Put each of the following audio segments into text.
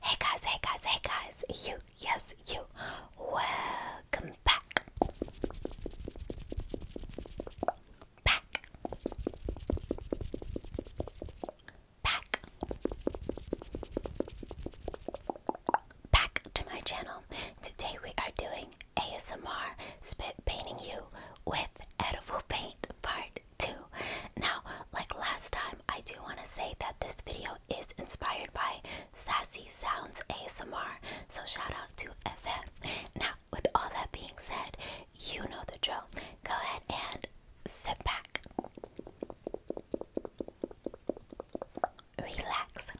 Hey guys, hey guys, hey guys, you, yes, you, welcome back. Back. Back. Back to my channel. Today we are doing ASMR spit painting you with edible paint part too. Now, like last time, I do want to say that this video is inspired by Sassy Sounds ASMR. So shout out to FM. Now, with all that being said, you know the drill. Go ahead and sit back. Relax.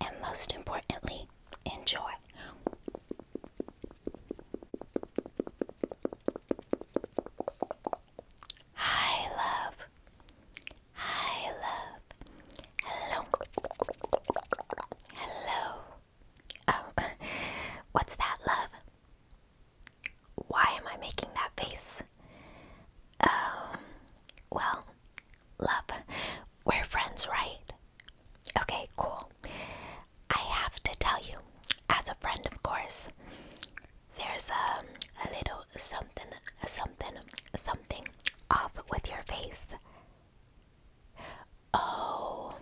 And most importantly, enjoy. Hi, love. Hi, love. Hello. Hello. Oh, what's that, love? Why am I making that face? Um, well, love, we're friends, right? Okay, cool. I have to tell you, as a friend, of course, there's um, a little something, something, something off with your face. Oh,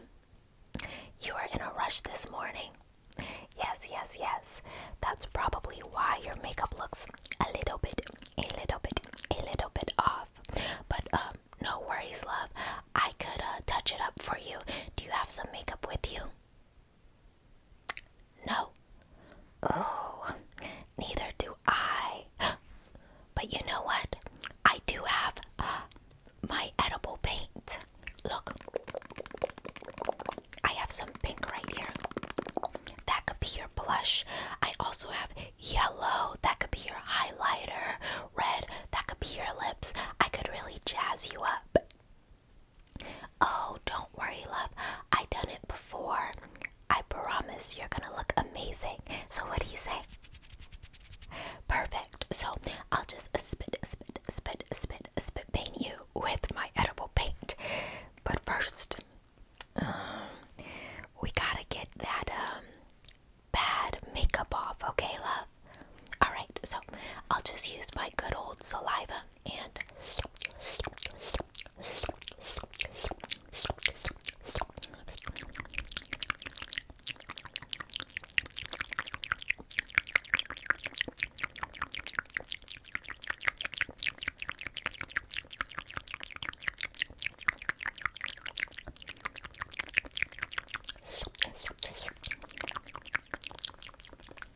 you are in a rush this morning. Yes, yes, yes. That's probably why your makeup looks a little bit, a little bit, a little bit off. But um, no worries, love. I could uh, touch it up for you. Do you have some makeup with you? No. Oh, neither do I. But you know what? I do have uh, my edible paint. Look, I have some pink right here. That could be your blush. I also have Yellow, that could be your highlighter. Red, that could be your lips. I could really jazz you up. Oh, don't worry, love. I done it before. I promise you're gonna look amazing. So what do you say? Perfect. So I'll just spit, spit, spit, spit, spit paint you with my edible paint. But first, um, we gotta get that um, bad makeup off, okay, love? Alright, so I'll just use my good old saliva and.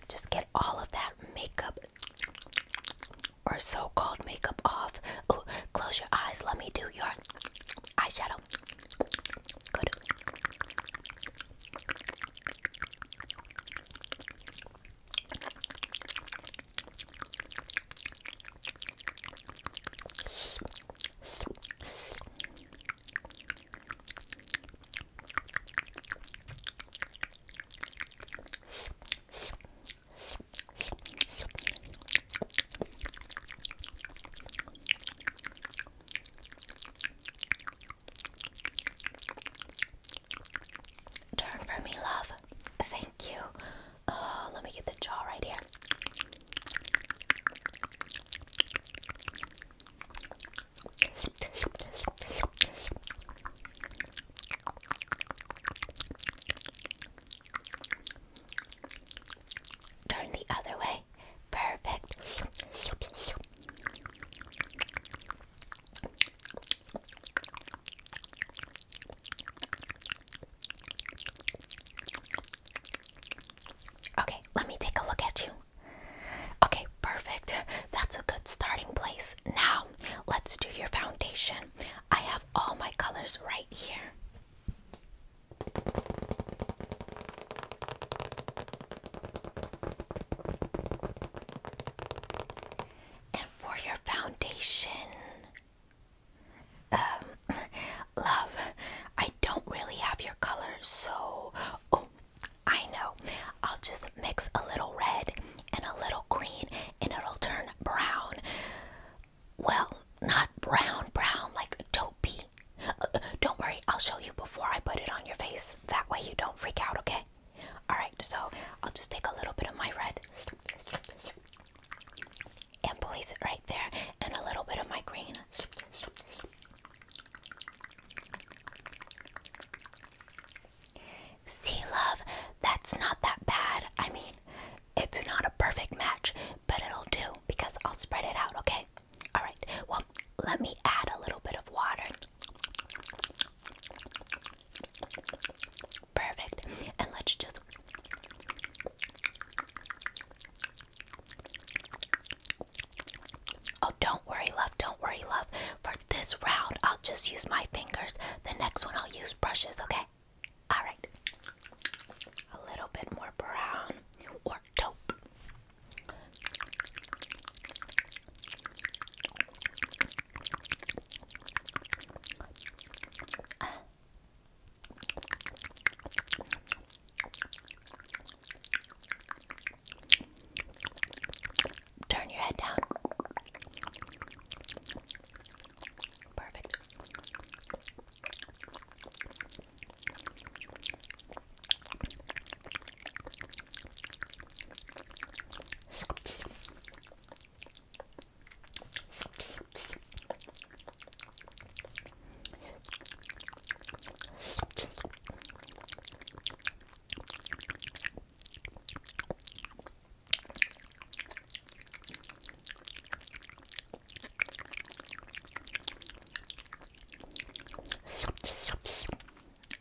Just get all of that makeup or so called makeup off. Ooh, close your eyes. Let me do your eyeshadow. Good. Turn for me, love. Thank you Oh, let me get the jaw right here. Turn the other way. Perfect. Okay, let me take a look at you. Okay, perfect. That's a good starting place. Now, let's do your foundation. I have all my colors right here. And for your foundation, um, love, I don't really have your colors, so oh, I know. I'll just mix a little red and a little green, and it'll turn brown. Well, not brown, brown like dopey. Uh, don't worry, I'll show you before I put it on your face. That way you don't freak out, okay? All right, so I'll just take a little bit of my red and place it right there and a little bit of my green. See, love, that's not that bad. I mean, it's not a perfect match, but it'll do because I'll spread it out, okay? Alright, well, let me add a little bit of water. Perfect. And let's just Oh, don't worry, love. Don't worry, love. For this round, I'll just use my fingers. The next one, I'll use brushes, okay? All right. A little bit more brown or taupe. Uh, Turn your head down. Perfect.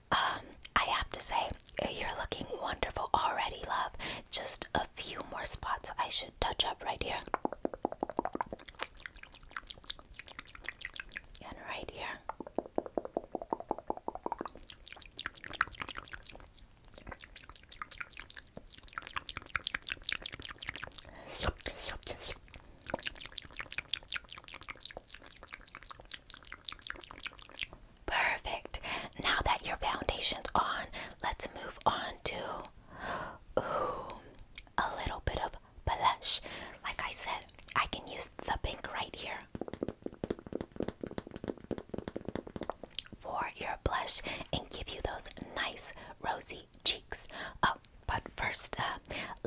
Um, I have to say, you're looking wonderful already, love. Just a a few more spots I should touch up right here. And right here. Perfect. Now that your foundation's on, let's move move on to ooh, a little bit of blush. Like I said, I can use the pink right here for your blush and give you those nice rosy cheeks. Oh, but first, uh,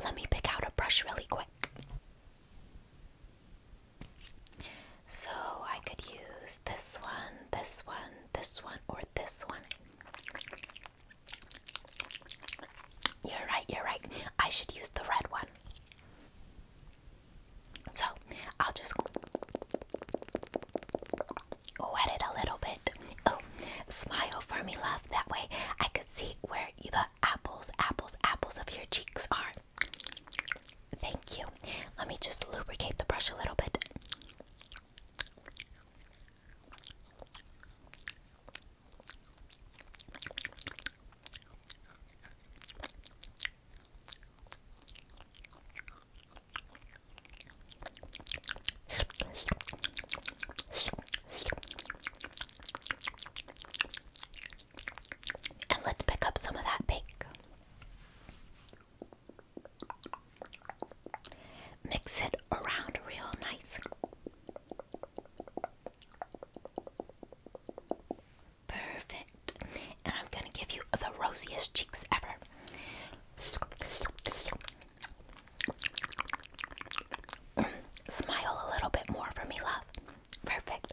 let me pick out a brush really quick. So I could use this one, this one, this one, or this one. You're right, you're right. I should use the red one. So I'll just wet it a little bit. Oh, smile for me, love. That way I could see where the apples, apples, apples of your cheeks are. Thank you. Let me just lubricate the brush a little bit. And let's pick up some of that pink. Mix it around real nice. Perfect. And I'm going to give you the rosiest cheeks ever. Smile a little bit more for me, love. Perfect.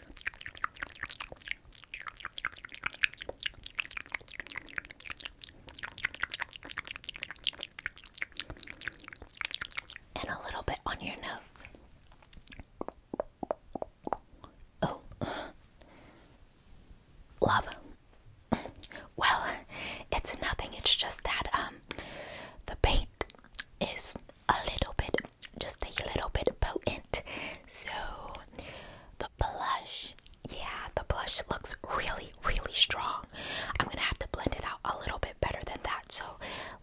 And a little bit on your nose. Oh, love. Well, it's nothing. It's just that um, the paint is a little bit just a little bit potent. So the blush, yeah, the blush looks really, really strong. I'm gonna have to blend it out a little bit better than that. So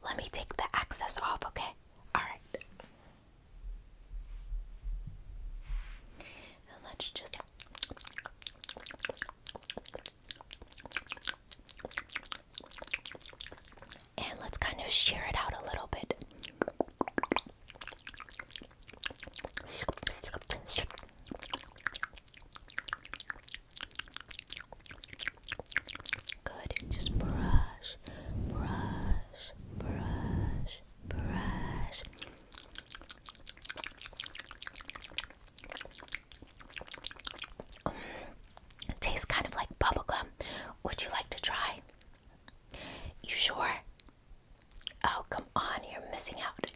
let me take the excess off, okay? Alright. let's just and let's kind of share it out a little bit. Good. Just brush, brush, brush, brush. It tastes kind of like bubblegum. Would you like to try? You sure? Oh, come on, you're missing out.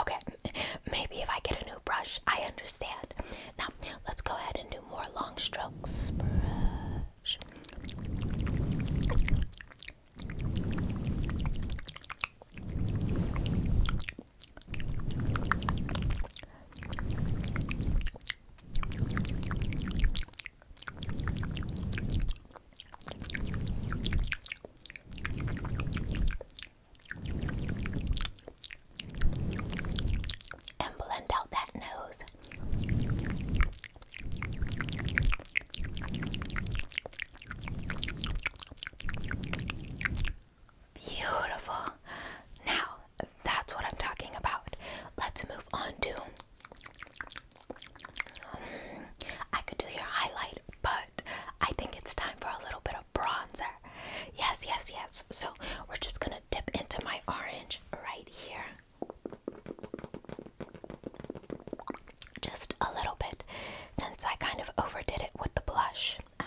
Okay, maybe if I get a new brush, I understand. Now, let's go ahead and do more long strokes. Brush and blend out that nose. Beautiful. Now, that's what I'm talking about. Let's move on to. I could do your highlight, but I think it's time for a little bit of bronzer. Yes, yes, yes. So we're just gonna dip into my orange right here. Just a little bit, since I kind of overdid it with the blush. Um,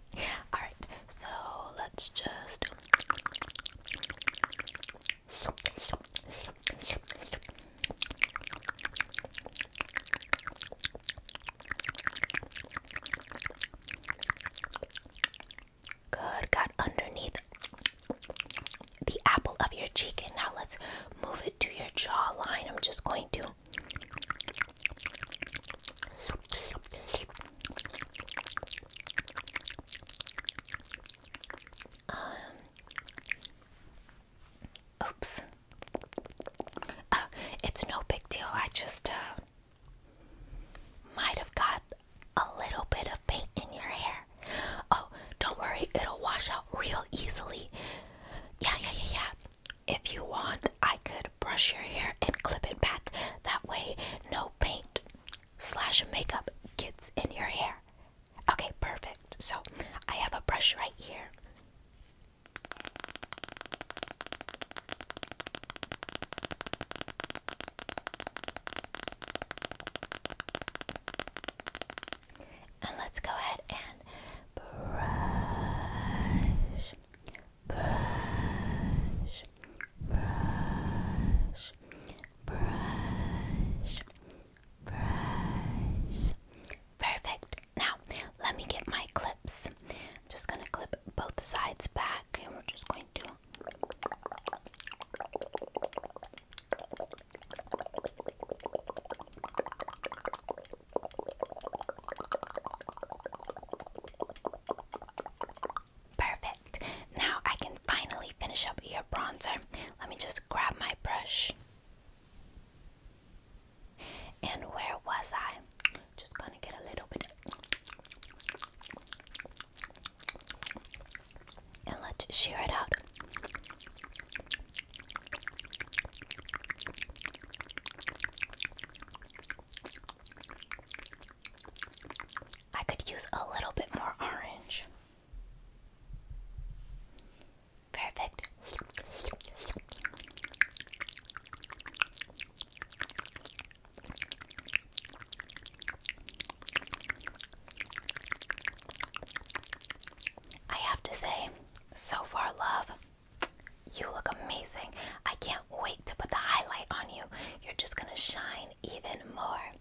Alright, so let's just. Good, got underneath the apple of your cheek, and now let's move it to your jawline. I'm just going to. Um, oops. Oh, it's no big deal. I just uh, might have got a little bit of paint in your hair. Oh, don't worry. It'll wash out real easily. Yeah, yeah, yeah, yeah. If you want, I could brush your hair and clip it back. That way, no paint slash makeup gets in your hair. Okay, perfect. So I have a brush right here. And let's go ahead and brush, brush, brush, brush, brush. Perfect. Now, let me get my clips. I'm just going to clip both sides back and we're just going to. Perfect. Now I can finally finish up your bronzer. Let me just grab my brush. And where was I? Just gonna get a little bit. And let's shear it out. I could use a little bit more orange. Perfect. I have to say, so far, love, you look amazing. I can't wait to put the highlight on you. You're just gonna shine even more.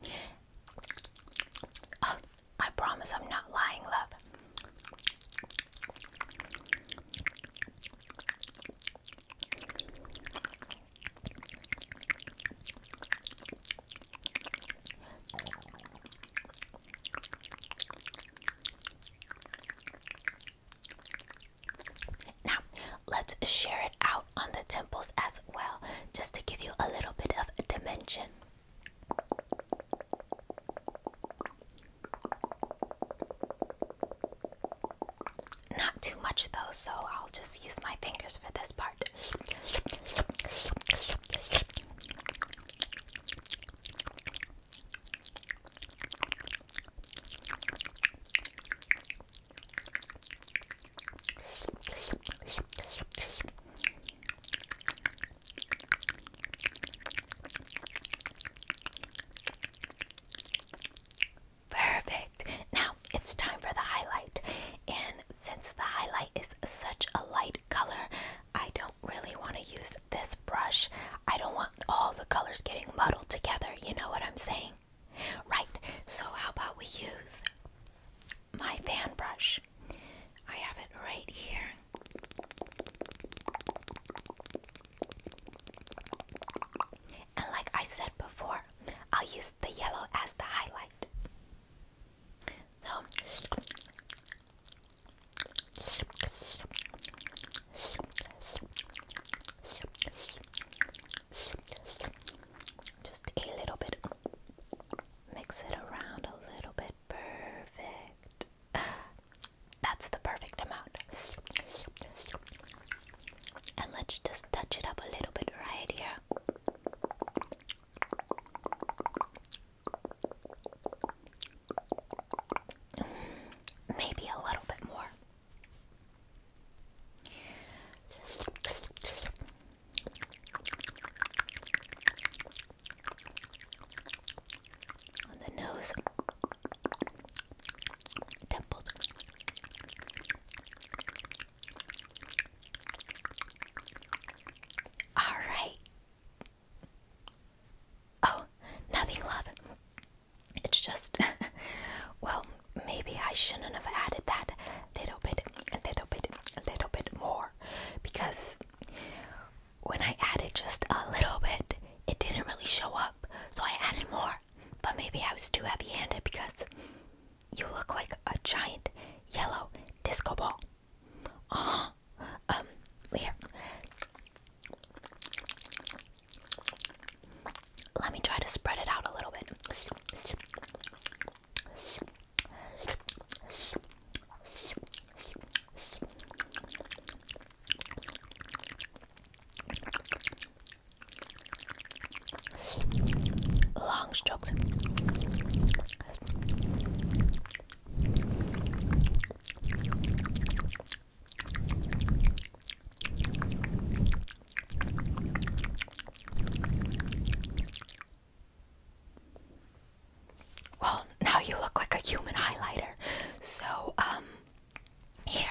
Oh, I promise I'm not lying, love. Now, let's share it out on the temples as well, just to give you a little bit of dimension. Not too much though, so I'll just use my fingers for this part. Perfect. Now it's time for the highlight. And since the highlight is such a light color, I don't really want to use this brush. I don't want all the colors getting muddled together. You know what I'm saying? Right, so how about we use my fan brush? I have it right here. And like I said before, I'll use the yellow as the highlight. So just a little bit. Mix it around a little bit. Perfect. That's the perfect amount. And let's just touch it up a little bit right here. Mm, maybe a little bit more. On the nose, temples. All right. Oh, nothing love. It's just, well, maybe I shouldn't have added that little bit, a little bit, a little bit more because when I added just a little bit, it didn't really show up. So I added more, but maybe I was too heavy handed because you look like a giant yellow disco ball. Uh Um, here. Let me try to spread it out a little bit. Long strokes. Well, now you look like a human highlighter. So, um, here,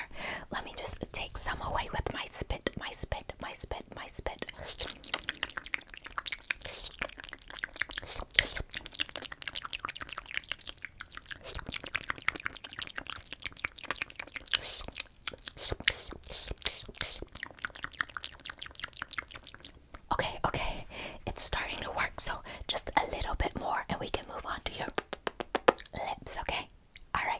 let me just take some away with my spit, my spit, my spit, my spit. Okay, okay, it's starting to work, so just a little bit more and we can move on to your lips, okay? All right.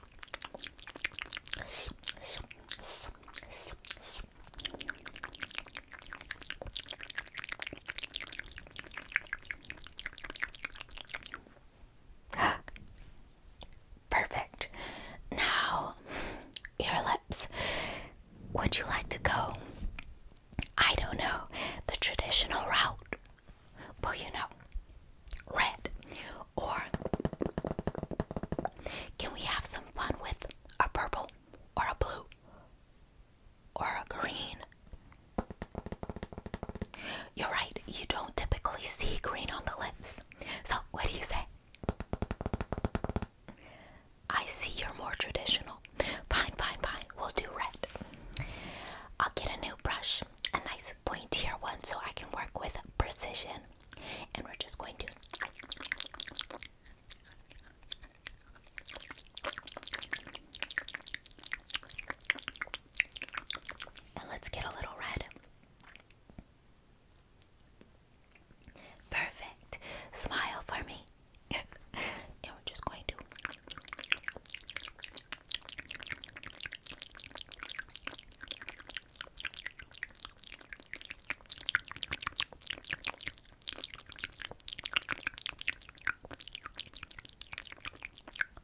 Perfect. Now, your lips. Would you like to go? I don't know, the traditional route. Well, you know, red or can we have some fun with a purple or a blue or a green? You're right, you don't typically see green on the lips. So, what do you say? I see you're more traditional. Fine, fine, fine. We'll do red. I'll get a new brush, a nice pointier one, so I can work with precision and we're just going to and let's get a little red. Perfect. Smile for me. and we're just going to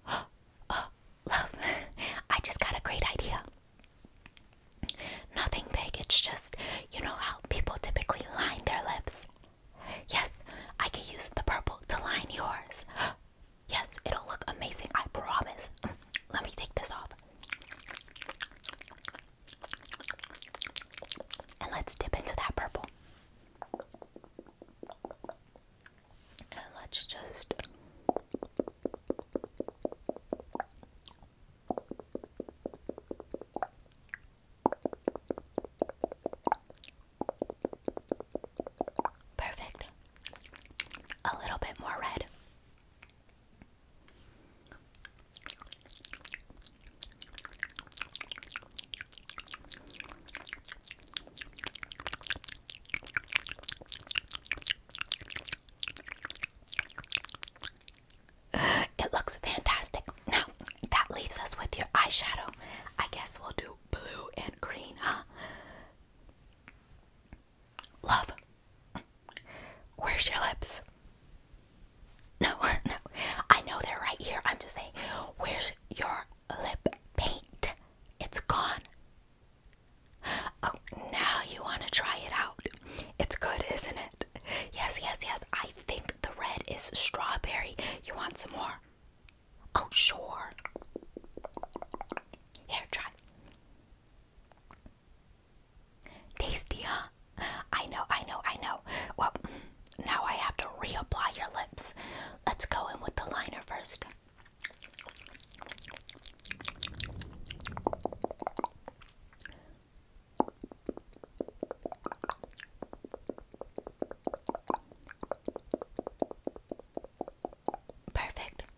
oh, love, I just got a great idea. Nothing big, it's just, you know how people typically line their lips. Yes, I can use the purple to line yours. Yes, it'll look amazing, I promise. Mm, let me take this off. And let's dip into that purple. And let's just Perfect. A little bit more red. It looks fantastic. Now, that leaves us with your eyeshadow. I guess we'll do blue and green, huh? Love, where's your lips? No, no, I know they're right here. I'm just saying, where's your lip paint? It's gone. Oh, now you want to try it out. It's good, isn't it? Yes, yes, yes. I think the red is strawberry. You want some more? Oh, sure. Here, try. Tasty, huh? I know, I know, I know. Well, now I have to reapply your lips. Let's go in with the liner first. Perfect.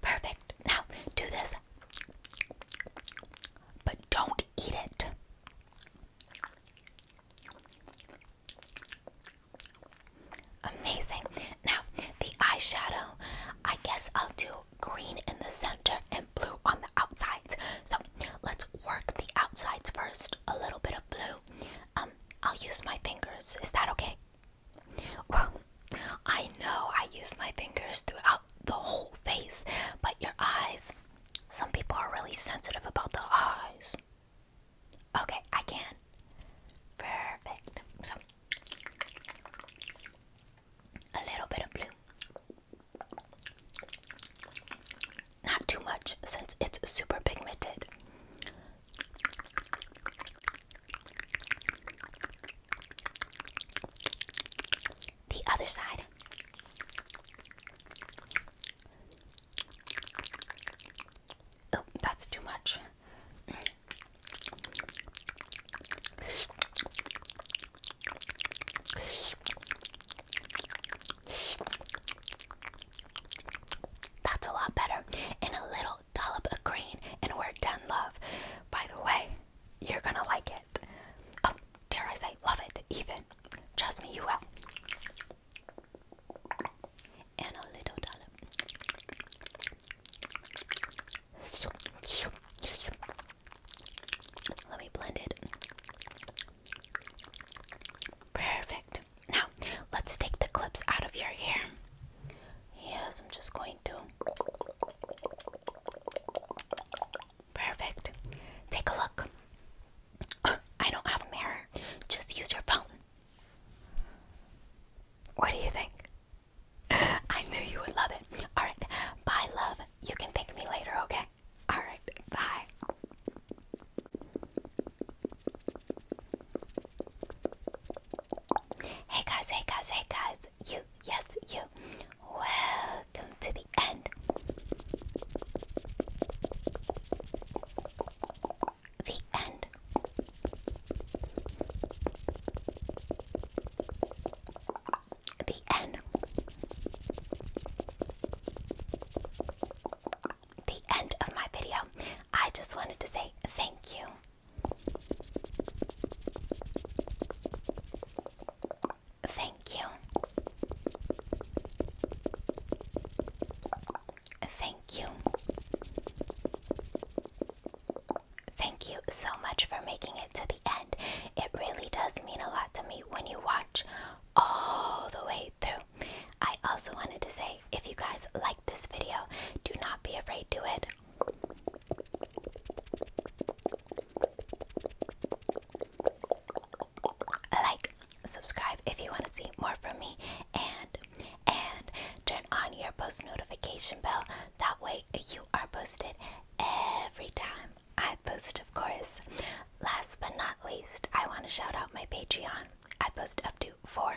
Perfect. Now do this, but don't eat it. Amazing. Now the eyeshadow. I guess I'll do green in the center and blue on the outside. So let's work the outsides first. A little bit of blue. Um, I'll use my fingers. Is that okay? Well, I know I use my fingers throughout the whole face, but your eyes. Some people are really sensitive about the eyes. Okay, I can. Perfect. So, a little bit of blue. Not too much since it's super pigmented. The other side. Oh, that's too much. That's a lot better. And a little dollop of green, and we're done, love. By the way, you're gonna like it. Oh, dare I say, love it, even. Trust me, you will. And a little dollop. Let me blend it. Perfect. Now, let's take the clips out of your hair. Yes, I'm just going to. Perfect. Take a look. Uh, I don't have a mirror. Just use your phone. What do you think? I knew you would love it. Alright, bye, love. You can pick me later, okay? Alright, bye. Hey guys, hey guys, hey guys. You, yes, you. Welcome to the end. The end the N. The end of my video. I just wanted to say thank you. Thank you. Thank you. Thank you. Thank thank you so much for making it to the end. It really does mean a lot to me when you watch all the way through. I also wanted to say if you guys like this video, do not be afraid to it. Like, subscribe if you want to see more from me and and turn on your post notification bell that way you are posted every time I post, of course. Last but not least, I want to shout out my Patreon. I post up to four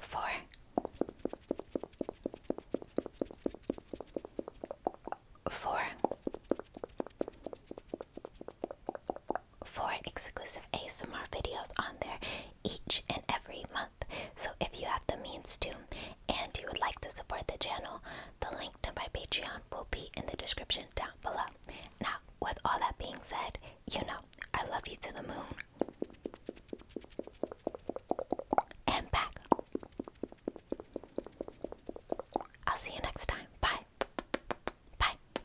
four four four exclusive ASMR videos on there each and every month. So if you have the means to and you would like to support the channel, the link to my Patreon will be in the description down below. Now, with all that being said, you know, I love you to the moon. And back. I'll see you next time. Bye. Bye.